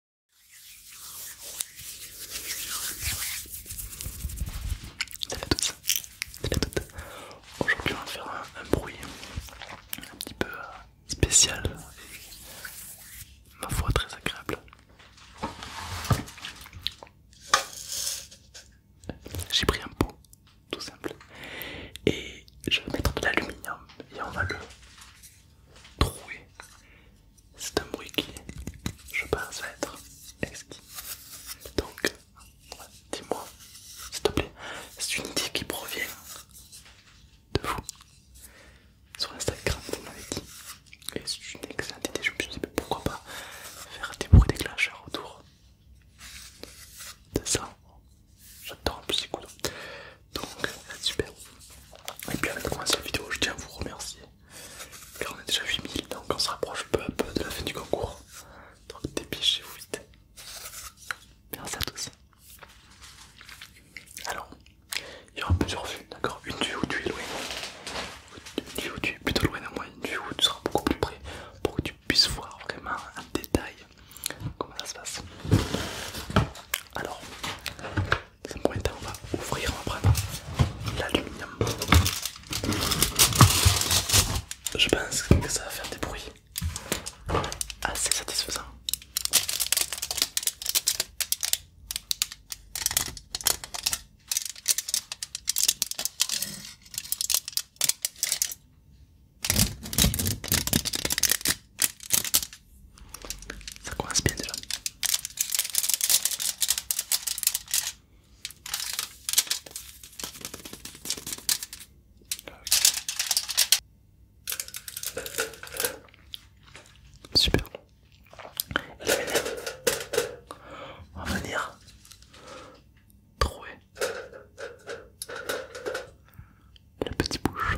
Salut à tous, salut à toutes. Aujourd'hui, on va faire un, un bruit un petit peu euh, spécial et ma foi très agréable. J'ai pris un pot tout simple et je vais mettre de l'aluminium et on va le trouer c'est un bruit qui, je pense, va être exquis. Donc, dis-moi, s'il te plaît, c'est une idée qui provient de vous sur Instagram, vous m'avez Et c'est une excellente idée, je me suis dit, mais pourquoi pas faire des bruits déclencheurs autour de ça. J'adore un petit coup Donc, super. Et puis avant de commencer la vidéo, je tiens à vous remercier car on est déjà 8000, donc on se rapproche peu à peu de la fin du concours. Donc dépêchez-vous vite. Merci à tous. Alors, il y aura plusieurs vues, d'accord Une vue où tu es loin, une vue où tu es plutôt loin de moi, une vue où tu seras beaucoup plus près pour que tu puisses voir vraiment en détail comment ça se passe. Alors, c'est un temps, on va ouvrir, on va prendre l'aluminium. Je pense que ça va faire des bruits assez satisfaisants. Ça commence bien déjà. Super. la On va venir trouver la petite bouche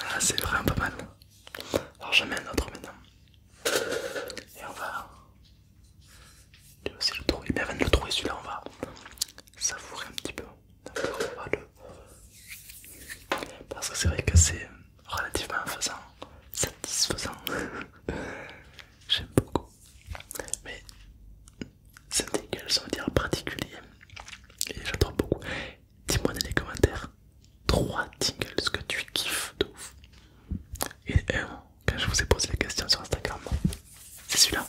Ah, c'est vraiment pas mal. Alors j'en mets un autre maintenant. Et on va... Tu aussi le trouver. Mais avant de le trouver celui-là, on va savourer un petit peu. On va le... Parce que c'est vrai que c'est relativement faisant, satisfaisant. J'aime beaucoup. Mais syndical, on va dire particulier. Et j'adore beaucoup. Dis-moi dans les commentaires trois tingles que tu kiffes de ouf. Et un, quand je vous ai posé la question sur Instagram, c'est celui-là.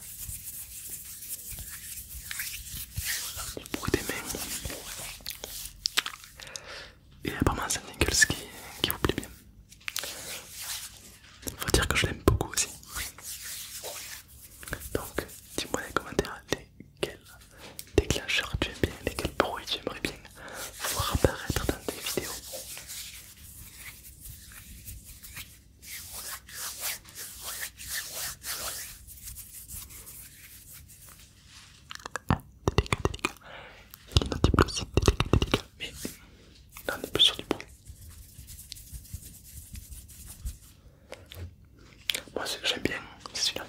Le bruit des mains. Et apparemment c'est un tingles qui, vous plaît bien. Faut dire que je l'aime beaucoup aussi. Donc, dis-moi dans les commentaires lesquels déclencheurs tu aimes bien, lesquels bruits tu aimerais bien voir apparaître dans tes vidéos. Ah, délicat, Il y a des délicat, Mais là on est plus sur du bruit. Moi j'aime bien, c'est celui-là.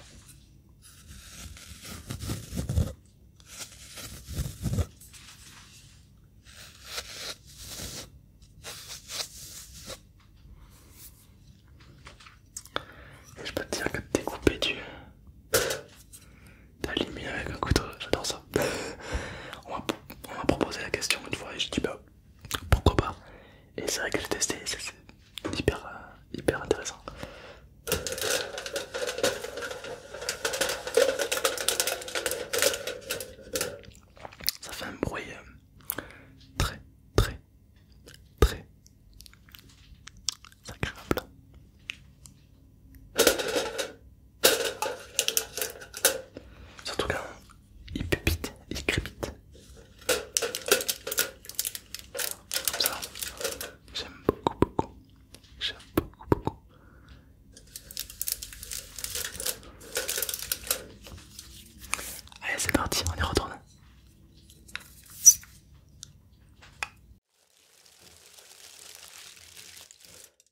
je peux te dire que découper du... de avec un couteau, j'adore ça. On m'a proposé la question une fois et j'ai dit bah pourquoi pas et c'est vrai que j'ai testé c'est hyper euh, hyper intéressant ça fait un bruit euh, très très très agréable surtout quand il pupite, il crépite. Comme ça, j'aime beaucoup, beaucoup. J'aime beaucoup, beaucoup. Allez, c'est parti, on y retourne.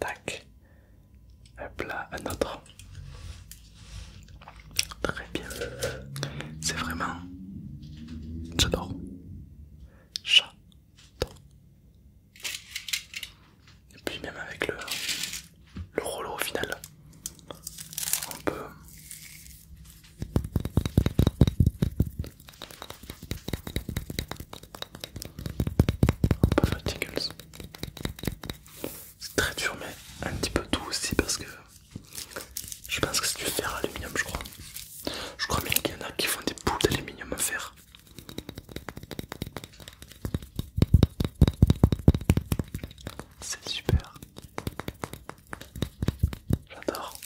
Tac. Hop là, un autre. Très bien. C'est vraiment... J'adore. Chat, Et puis même avec le, le rouleau au final, on peut... On peut faire C'est très dur mais un petit peu doux aussi parce que je pense que c'est du fer à aluminium, je crois. Je crois bien qu'il y en a qui font des boules d'aluminium à fer. C'est super. J'adore.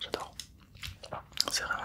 J'adore. C'est vraiment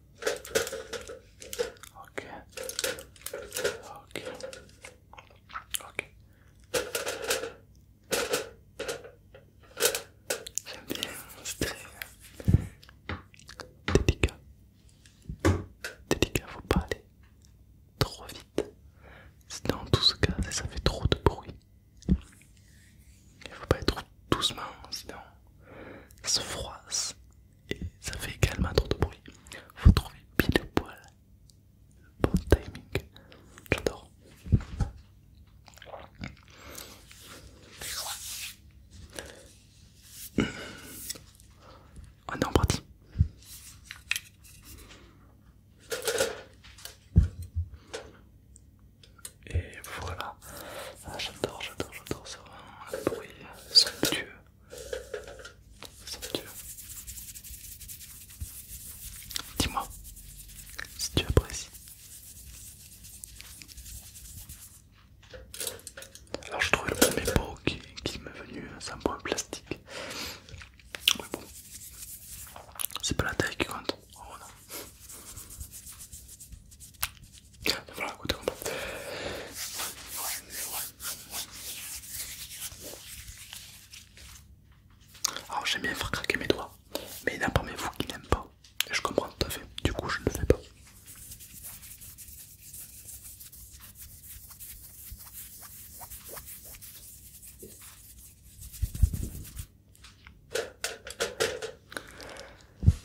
Ok. Ok. Ok. J'aime bien, c'est très délicat. Délicat, faut pas aller trop vite. Sinon, dans tout ce cas, ça fait trop de bruit. Il faut pas être doucement sinon ça se froisse et ça fait également trop de bruit. Il Faut trouver pile poil le bon timing. J'adore. On est en partie. Et voilà, ah, j'adore, j'adore, j'adore, c'est vraiment un bruit somptueux. Somptueux. Dis-moi si tu apprécies. Alors je trouve le premier pot qui, m'est venu, c'est un point plastique. Mais bon, c'est pas la taille qui compte. Oh non. Alors j'aime bien faire craquer mes doigts, mais il y en a parmi vous qui n'aiment pas, je comprends tout à fait, du coup je ne le fais pas.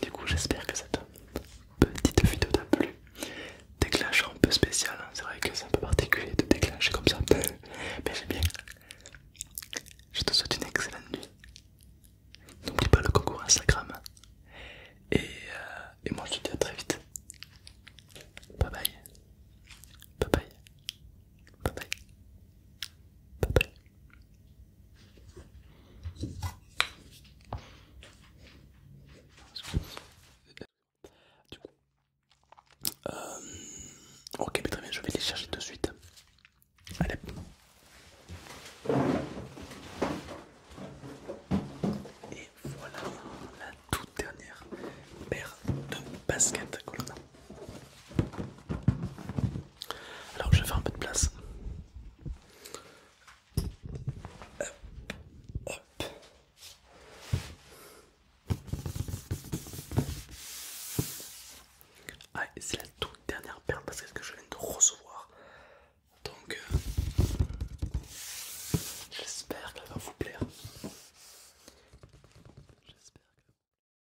Du coup, j'espère que cette petite vidéo t'a plu. Déclenche un peu spécial, hein. c'est vrai que c'est un peu particulier de déclencher comme ça, mais j'aime bien. Je te souhaite une excellente nuit. N'oublie pas le concours Instagram. Et, euh, et moi, je te dis à très vite. Bye bye. Bye bye. Bye bye. Bye euh, bye. ok, mais très bien, je vais les chercher de suite. Allez. Et voilà la toute dernière paire de baskets que a. Alors je vais faire un peu de place. Ah, c'est la toute dernière perle parce que je viens de recevoir. Donc euh, j'espère qu'elle va vous plaire. J'espère que...